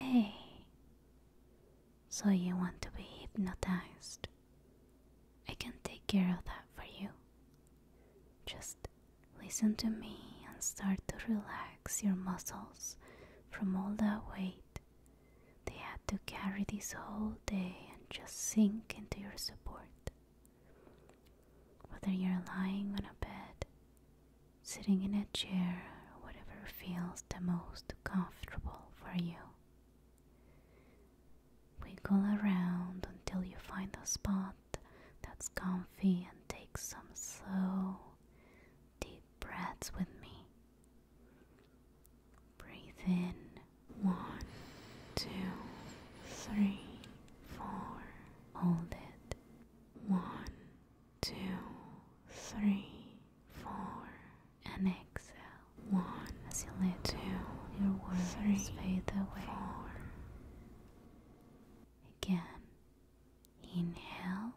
Hey, so you want to be hypnotized? I can take care of that for you. Just listen to me and start to relax your muscles from all that weight they had to carry this whole day and just sink into your support. Whether you're lying on a bed, sitting in a chair whatever feels the most comfortable for you. Wiggle around until you find a spot that's comfy and take some slow, deep breaths with me. Breathe in one, two, three, four. Hold it. One, two, three, four, and exhale. One, as you let two, your words fade away. Four. Again, inhale.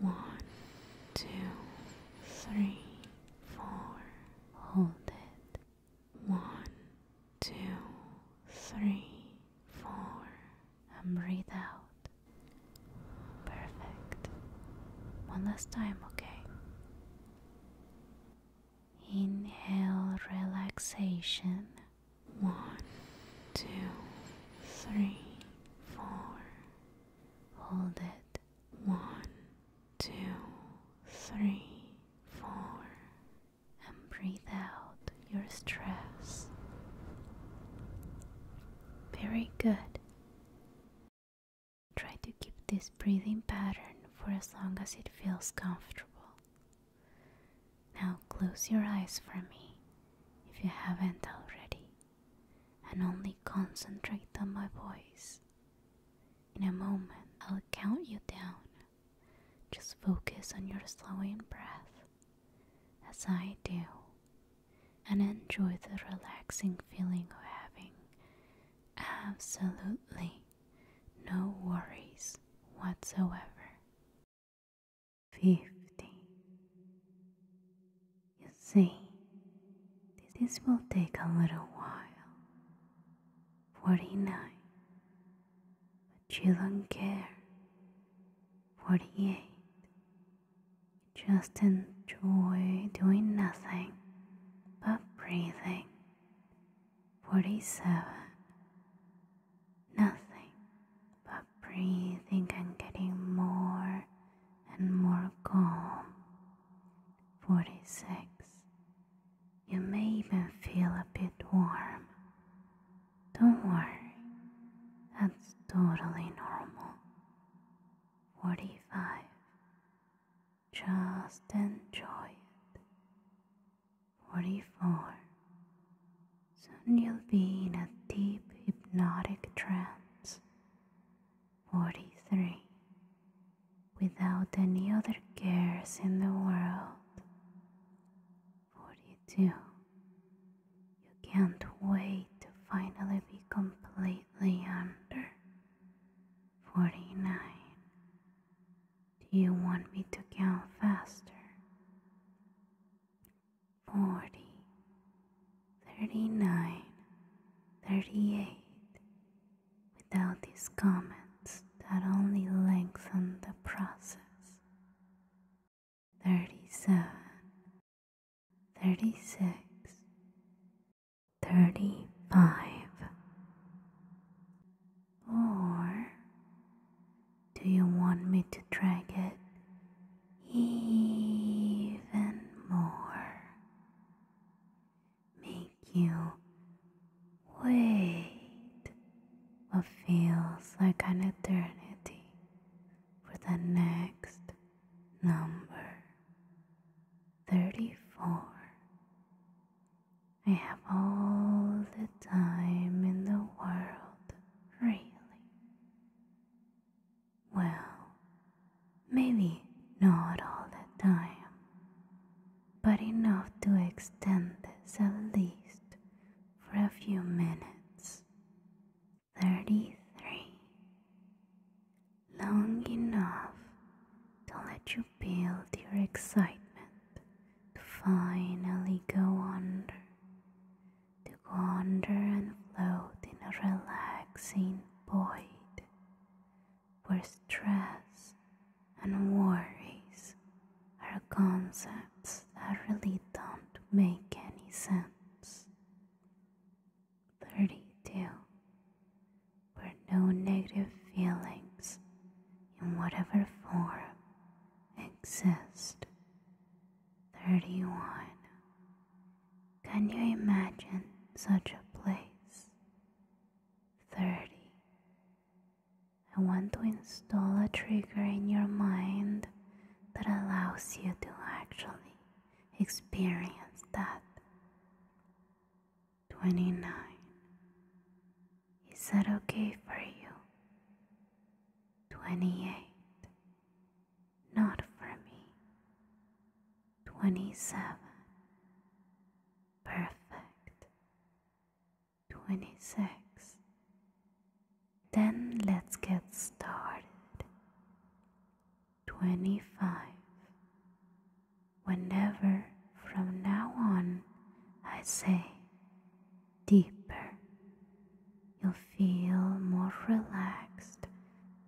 One, two, three, four. Hold it. One, two, three, four and breathe out. Perfect. One last time, okay? Inhale relaxation. One, two, three, four. Hold it. One, two, three, four. And breathe out your stress. Very good. Try to keep this breathing pattern for as long as it feels comfortable. Now close your eyes for me if you haven't already, and only concentrate on my voice. In a moment, I'll count you down. Just focus on your slowing breath as I do and enjoy the relaxing feeling of having absolutely no worries whatsoever. 50. You see, this will take a little while. 49. But you don't care. 48. Just enjoy doing nothing but breathing. 47. Nothing but breathing and getting more and more calm. 46. You may even feel a bit warm. Don't worry, that's totally normal. 45. Just enjoy it. 44. Soon you'll be in a deep hypnotic trance. 43. Without any other cares in the world. 42. You can't wait to finally be completely under. 49. Do you want me to count faster? 40. 39. 38. Without these comments that only lengthen the process. 37 36 35 or do you want me to drag it even more make you wait what feels like an eternity for the next number 34. I have all the time in the world, really. Well, maybe not all the time, but enough to extend this at least for a few minutes 33. Long enough to let you build your excitement to finally go under, to go under and float in a relaxing void where stress and worries are concepts that really don't make any sense. 32. Where no negative feelings, in whatever form, exist. 31. Can you imagine such a place? 30. I want to install a trigger in your mind that allows you to actually experience that. 29. Is that okay for you? 28. Not for me. 27. Perfect. 26. Then let's get started. 25. Whenever from now on I say deeper, you'll feel more relaxed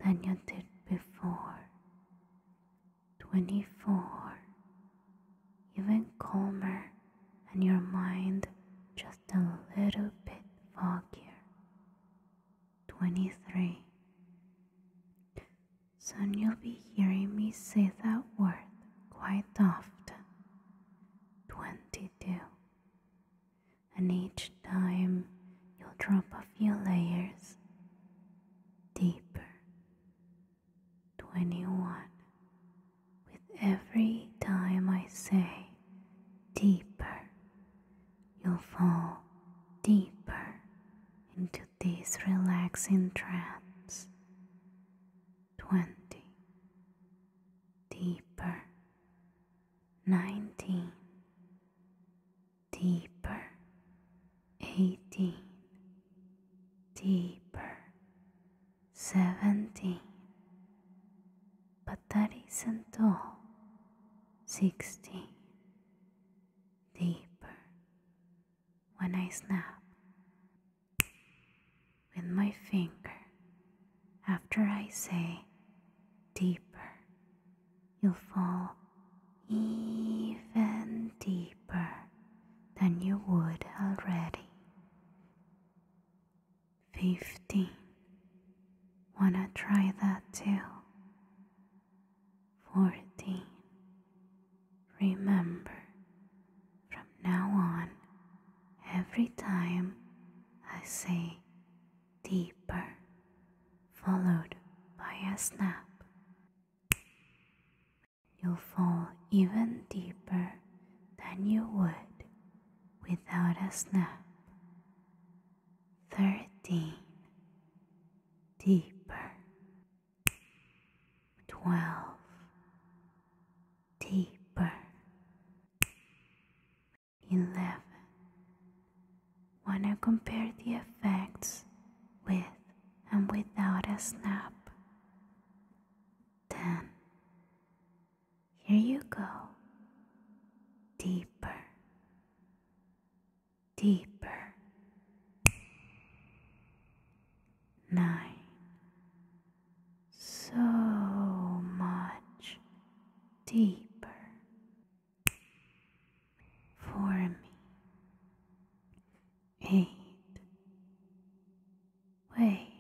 than you did before. 24. Even calmer and your mind just a little bit foggier. 23. Soon you'll be hearing me say that word quite often. 22. And each time you'll drop a few layers deeper. 21 with every time I say deeper, you'll fall deeper into this relaxing trance. 20. Deeper. 19. Deeper. 18. Deeper seventeen. But that isn't all. Sixteen. Deeper. When I snap with my finger after I say deeper, you'll fall even deeper than you would already. 50 want Wanna try that too? Fourteen. Remember, from now on, every time I say deeper, followed by a snap, you'll fall even deeper than you would without a snap. Thirteen, deeper. Twelve, deeper. Eleven. Wanna compare the effects with and without a snap? Ten, here you go. Deeper. Deeper. Nine. So much deeper for me. Eight. Wait,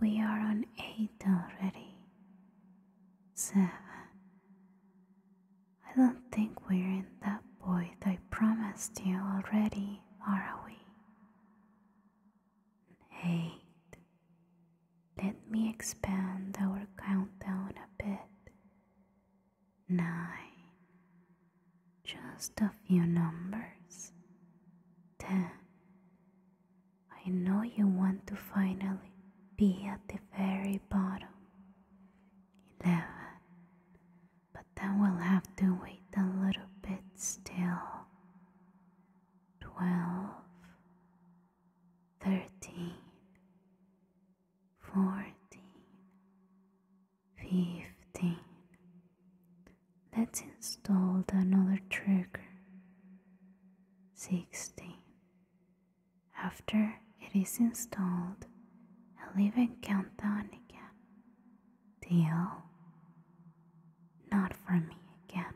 we are on eight already. Seven. I don't think we're in that void I promised you already, are we? Eight. Let me expand our countdown a bit. Nine. Just a few numbers. Ten. I know you want to finally be at the very bottom. 11. But then we'll have to wait a little bit still. 12. Let's install another trigger. 16. After it is installed, I'll even count down again. Deal? Not for me again.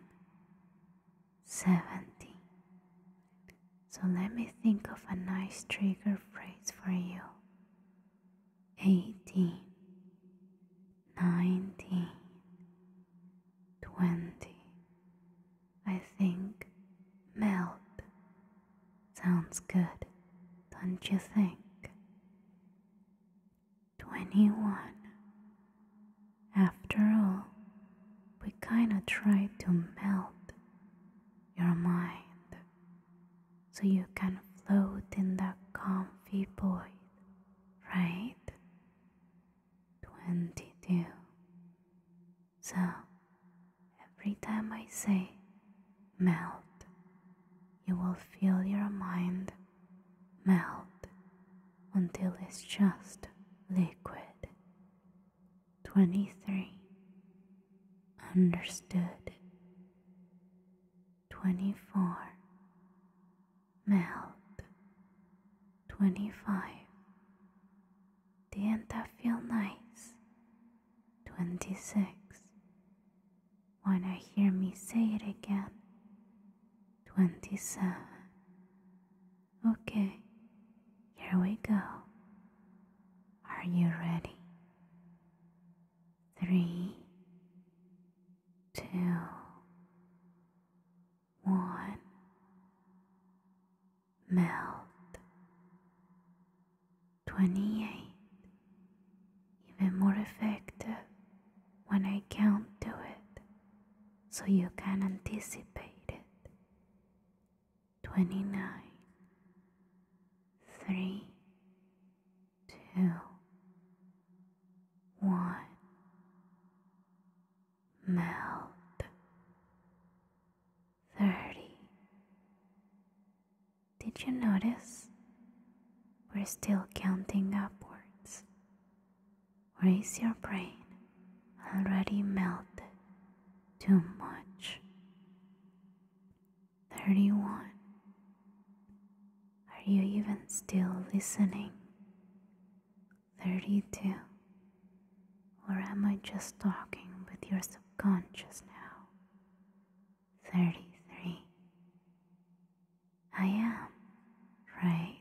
Seventy. So let me think of a nice trigger phrase for you eighteen, nineteen, twenty. I think melt sounds good, don't you think? Twenty one. After all, we kinda try to melt your mind so you can float in that comfy void right? 22. So every time I say melt, you will feel your mind melt until it's just liquid. 23. Understood. 24 melt 25 didn't that feel nice 26 wanna hear me say it again 27 okay here we go are you ready Three, two, one, melt, twenty eight, even more effective when I count to it so you can anticipate it, twenty nine, three, two, one. Melt. Thirty. Did you notice? We're still counting upwards. Or is your brain already melted too much? 31 are you even still listening? 32. Or am I just talking with your subconscious now? 33. I am, right?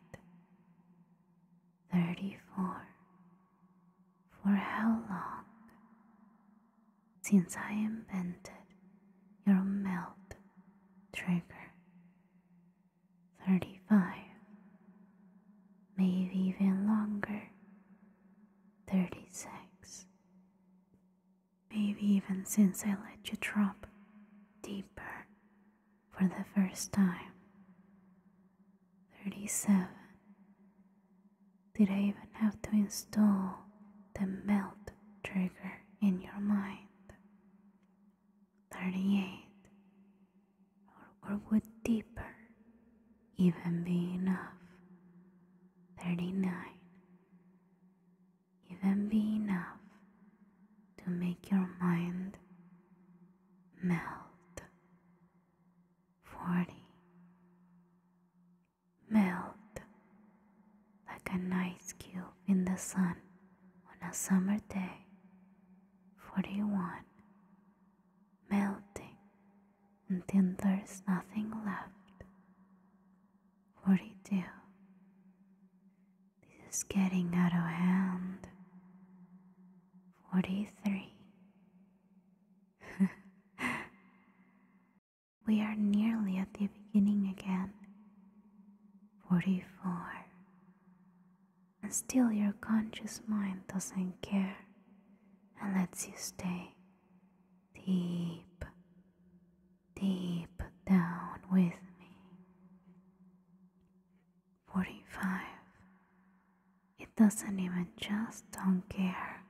34. For how long? Since I invented your melt trigger. 35, maybe even longer. 36, maybe even since I let you drop deeper for the first time. 37. Did I even have to install the melt trigger in your mind? 38 or, or would deeper even be enough 39 even be enough to make your mind melt 40 melt like a ice cube in the sun on a summer day. 41. Melting until there's nothing left. 42. This is getting out of hand. 43. we are nearly at the beginning again. 44. And still your conscious mind doesn't care and lets you stay deep, deep down with me. 45. It doesn't even just don't care.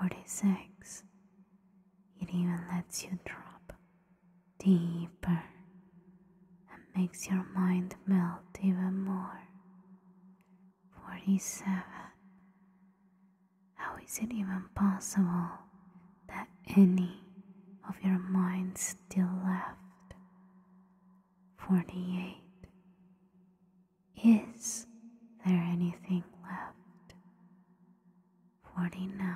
46. It even lets you drop deeper and makes your mind melt even more. 47. How is it even possible that any of your mind still left? 48. Is there anything left? 49.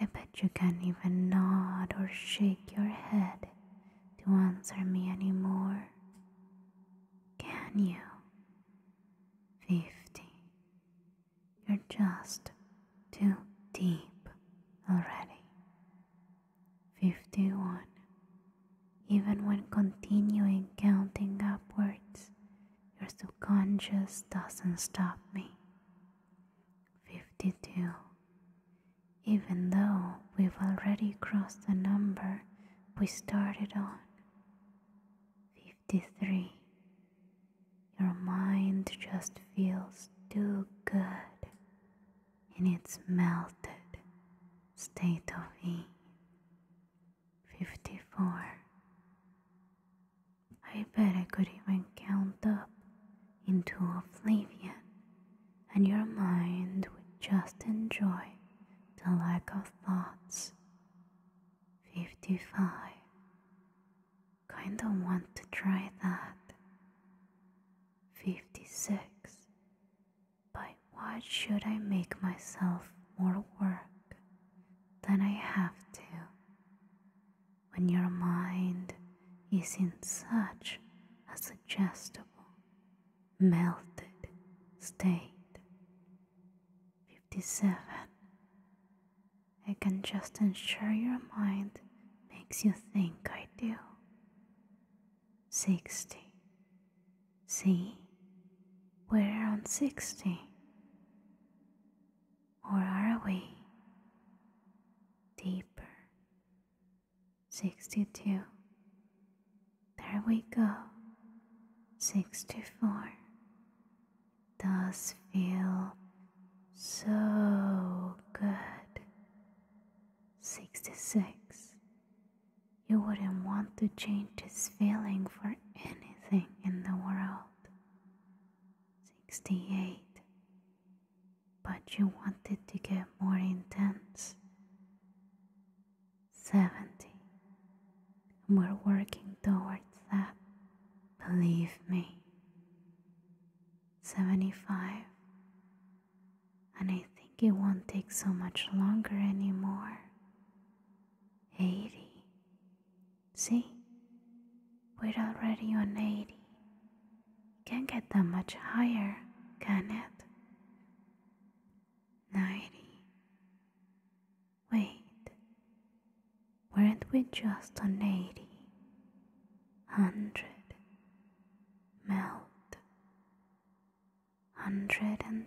I bet you can't even nod or shake your head to answer me anymore. Can you? 50. You're just too deep already. 51. Even when continuing counting upwards, your subconscious doesn't stop me. 52. Even though we've already crossed the number we started on. 53. Your mind just feels too good in its melted state of ease. 54. I bet I could even count up into oblivion, and your mind would just enjoy the lack of thoughts. 55. Kinda want to try that. 56. By what should I make myself more work? than I have to when your mind is in such a suggestible, melted state. 57. I can just ensure your mind makes you think I do. 60. See? We're on 60. Or are we deeper? 62. There we go. 64. does feel so good. 66. You wouldn't want to change this feeling for anything in the world. 68. But you wanted to get more intense. 70. And we're working towards that. Believe me. 75. And I think it won't take so much longer anymore. 80. See, we're already on 80. Can't get that much higher, can it? 90. Wait, weren't we just on 80? 100. Melt. 110.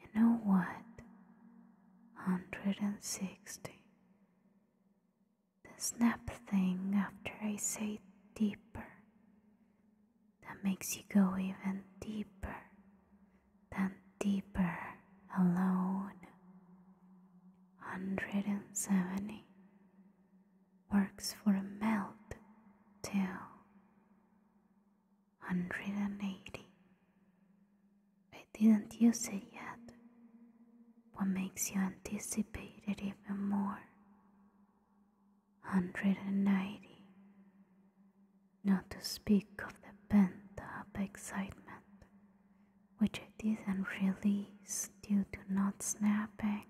You know what? 160. The snap thing after I say deeper. That makes you go even deeper than deeper alone. 170 works for a melt too. 180. I didn't use it yet. What makes you anticipate it even more? 190. Not to speak of the pent up excitement, which I didn't release due to not snapping.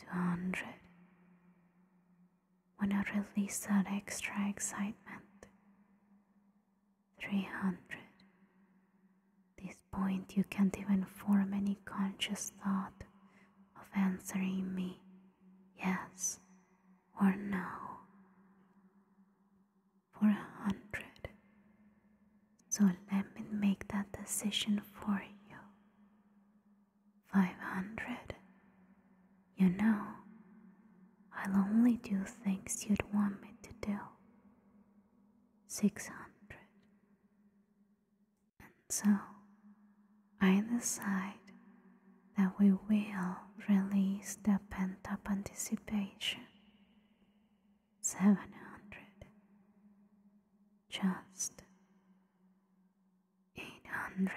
200 when I release that extra excitement. 300. This point you can't even form any conscious thought of answering me yes or no. 400. So let me make that decision for you. 500. You know, I'll only do things you'd want me to do. 600. And so, I decide that we will release the pent up anticipation. 700. Just 800.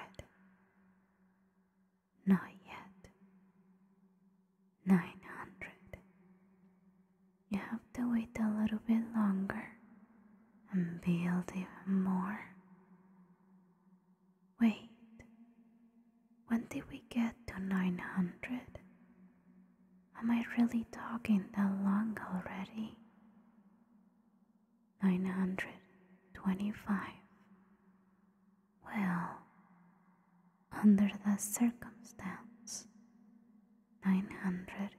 Not yet. Nine hundred. You have to wait a little bit longer and build even more. Wait, when did we get to 900? Am I really talking that long already? 925. Well, under the circumstance, 950.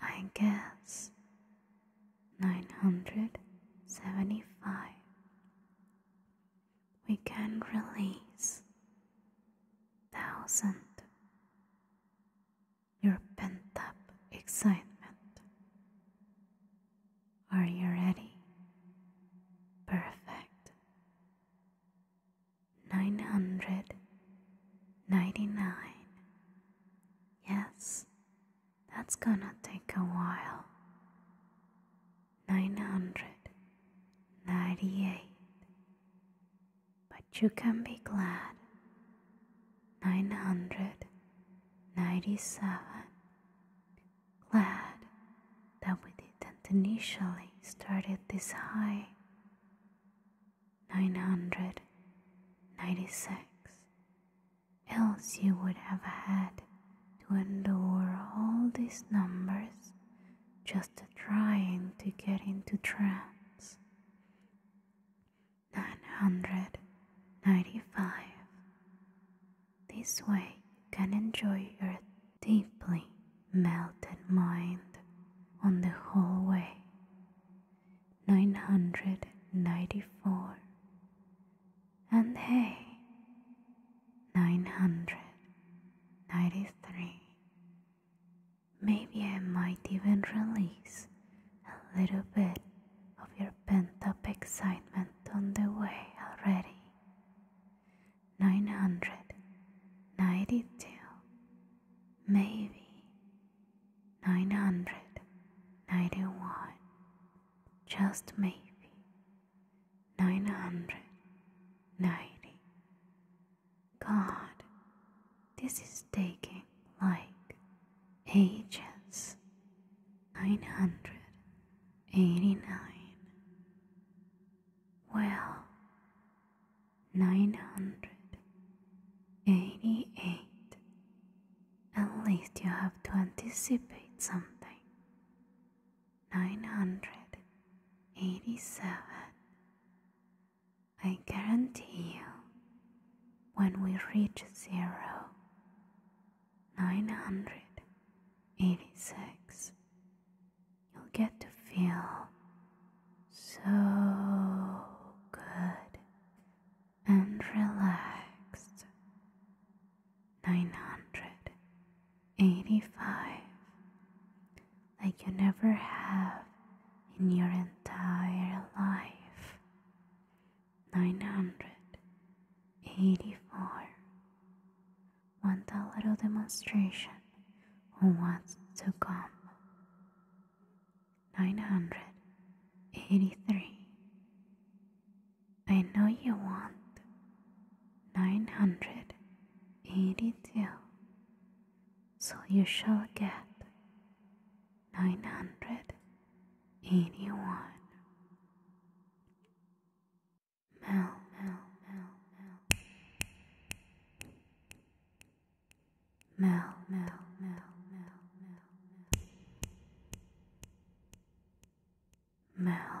I guess 975. We can release thousand. Your pent up excitement are you ready? Perfect. 999. Yes, that's gonna take a while. 998. But you can be glad nine hundred ninety seven. Glad that we didn't initially start it this high. Nine hundred ninety six. Else you would have had to endure all these numbers just trying to get into trance. 995. This way you can enjoy your deeply melted mind on the whole way. 994. And hey, 993. Maybe I might even release a little bit of your your pent up excitement on the way already. 992, maybe 991, just maybe 990. God, this is taking like ages nine hundred eighty nine. Well, nine hundred eighty eight. At least you have to anticipate something. Nine hundred eighty seven. I guarantee you, when we reach zero, nine hundred eighty six, you'll get to feel so good and relaxed. Nine hundred eighty five, like you never have in your entire life nine hundred eighty four. Want a little demonstration Who wants to come. Nine hundred eighty three. I know you want nine hundred eighty two, so you shall get nine hundred eighty one. Mel, mel, mel, mel. Mel, mel, mel, mel, mel. Mel,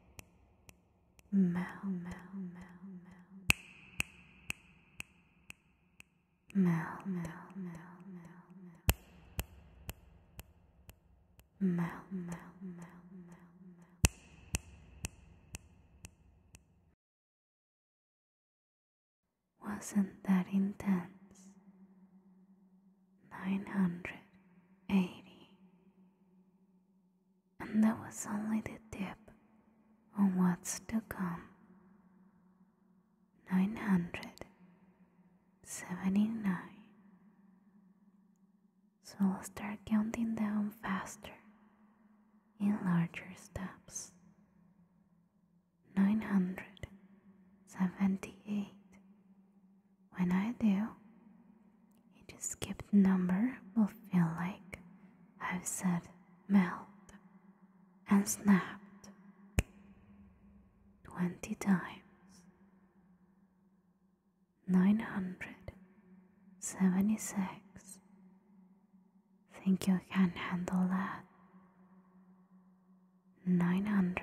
Mel, mel, mel, mel. Mel, mel, mel, mel, mel. Mel, mel, mel, mel, mel. Wasn't that intense? nine hundred eighty. And that was only the tip of what's to come. Nine hundred seventy nine. So I'll start counting down faster in larger steps. Nine hundred seventy eight. When I do, each skipped number will feel like I've said melt and snapped 20 times. 976. Think you can handle that? 900.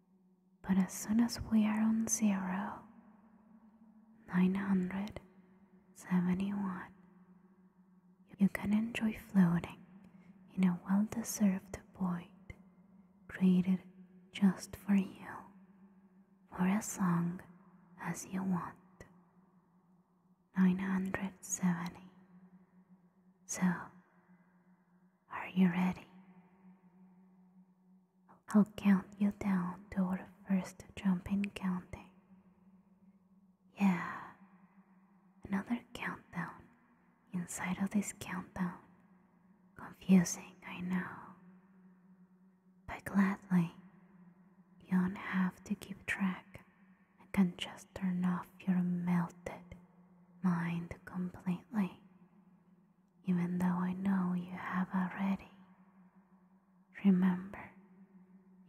But as soon as we are on zero, 971, you can enjoy floating in a well deserved void created just for you for as long as you want. 970. So, are you ready? I'll count you down to our first jumping counting. Yeah, another countdown inside of this countdown. Confusing, I know. But gladly, you don't have to keep track I can just turn off your melted mind completely even though I know you have already. Remember,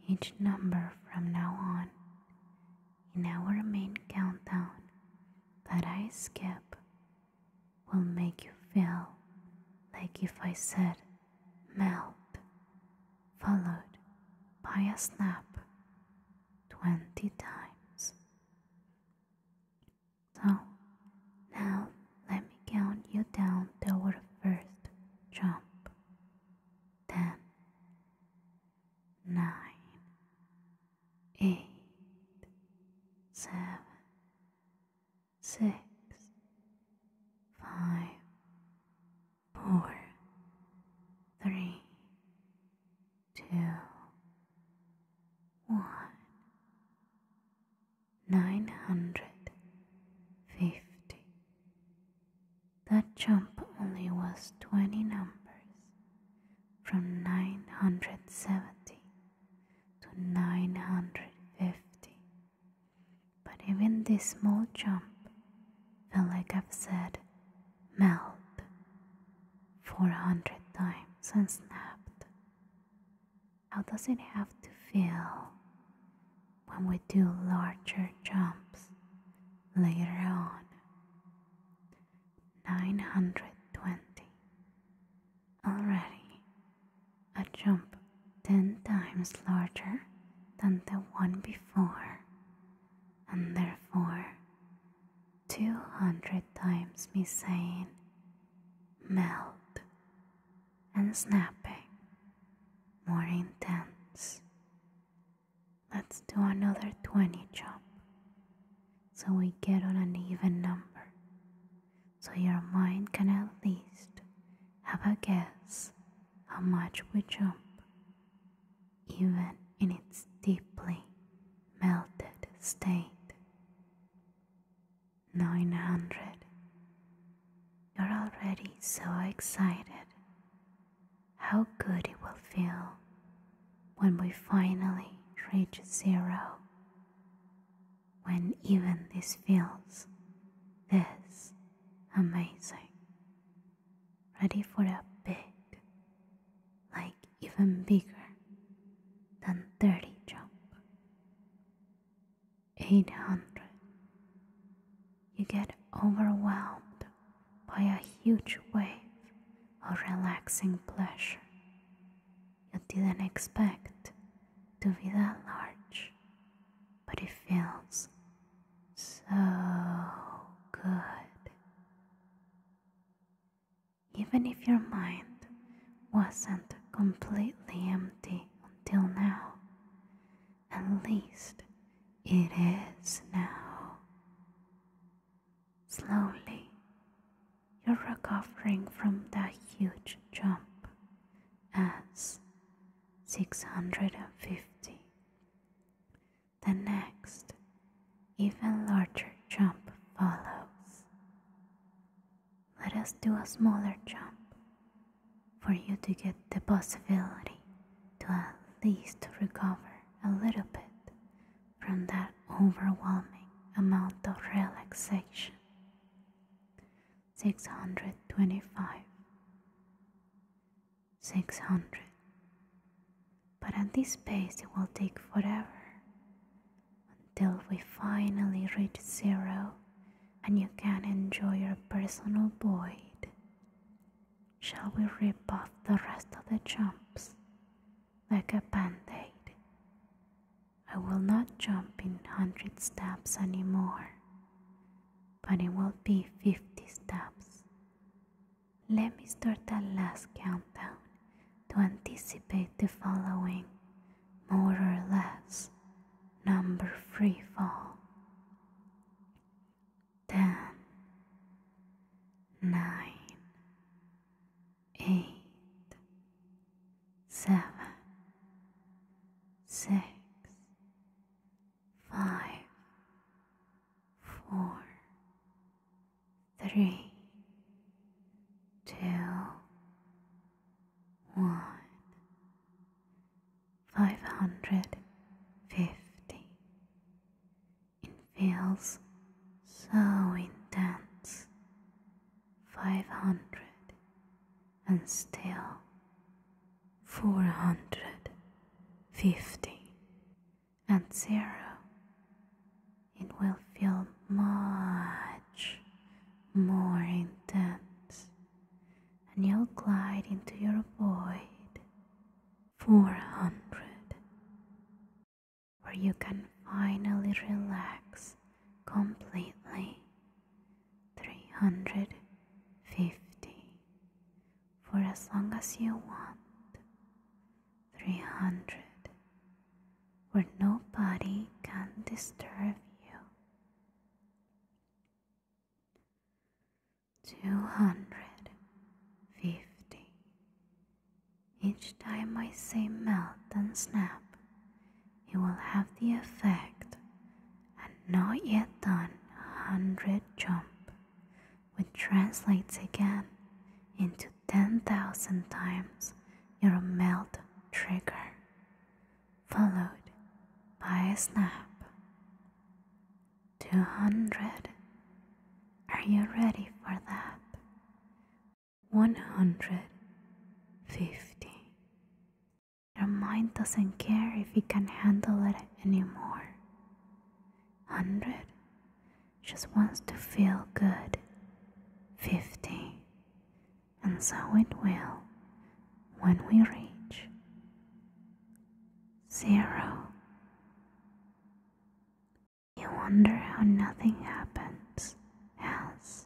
each number from now on in our main countdown that I skip will make you feel like if I said melt, followed by a snap 20 times. So, now let me count you down to our first jump. Ten, nine, eight, seven, six, five, four, three, two, one, nine hundred fifty. That jump only was twenty numbers from nine hundred seventy to nine hundred fifty. But even this small jump felt like I've said melt 400 times and snapped. How does it have to feel when we do larger jumps later on? 920. Already a jump 10 times larger than the one before, and therefore 200 times me saying melt and snapping more intense. Let's do another 20 jump so we get on an even number so your mind can at least have a guess how much we jump, even in its deeply melted state. 900. You're already so excited. How good it will feel when we finally reach zero. When even this feels this amazing. Ready for a big like even bigger than 30 jump. 800. You get overwhelmed by a huge wave of relaxing pleasure you didn't expect to be that large, but it feels so good even if your mind wasn't completely empty until now, at least it is now. Slowly, you're recovering from that huge jump as 650 the next, even larger jump follows. Let us do a smaller jump for you to get the possibility to at least recover a little bit from that overwhelming amount of relaxation. 625 600 but at this pace it will take forever until we finally reach zero and you can enjoy your personal void. Shall we rip off the rest of the jumps like a bandaid? I will not jump in 100 steps anymore, but it will be 50 steps let me start that last countdown to anticipate the following, more or less, number free fall. 10, 4, three, two, one, five hundred fifty. It feels so intense. Five hundred and still four hundred fifty and zero, it will feel much more intense and you'll glide into your void 400 where you can finally relax completely 350 for as long as you want three hundred, where nobody can disturb you. Two hundred fifty. Each time I say melt and snap, it will have the effect and not yet done a hundred jump which translates again into 10,000 times your melt trigger, followed by a snap. 200. Are you ready for that? 150. Your mind doesn't care if you can handle it anymore. 100 just wants to feel good. 50. And so it will when we reach 0. You wonder how nothing happens else.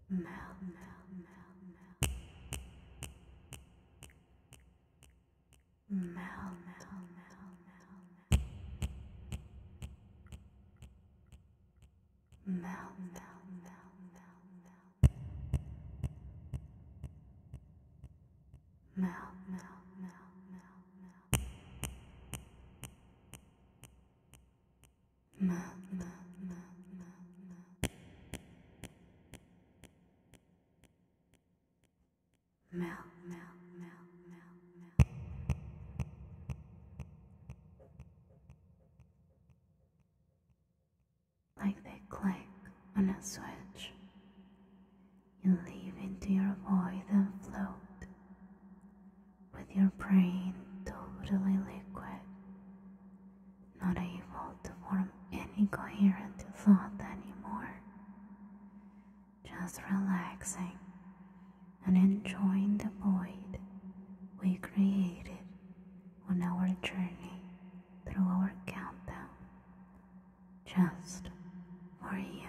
melt, melt, melt, melt. Mel, mel, mel, mel, mel. Mel, mel, mel, mel, mel. Mel, mel, mel, mel, mel. Mel, mel, mel, mel, Like they click on a switch, you leave into your void and float with your brain totally liquid not able to form any coherent thought anymore. Just relaxing and enjoying the void we created on our journey through our countdown, just for you.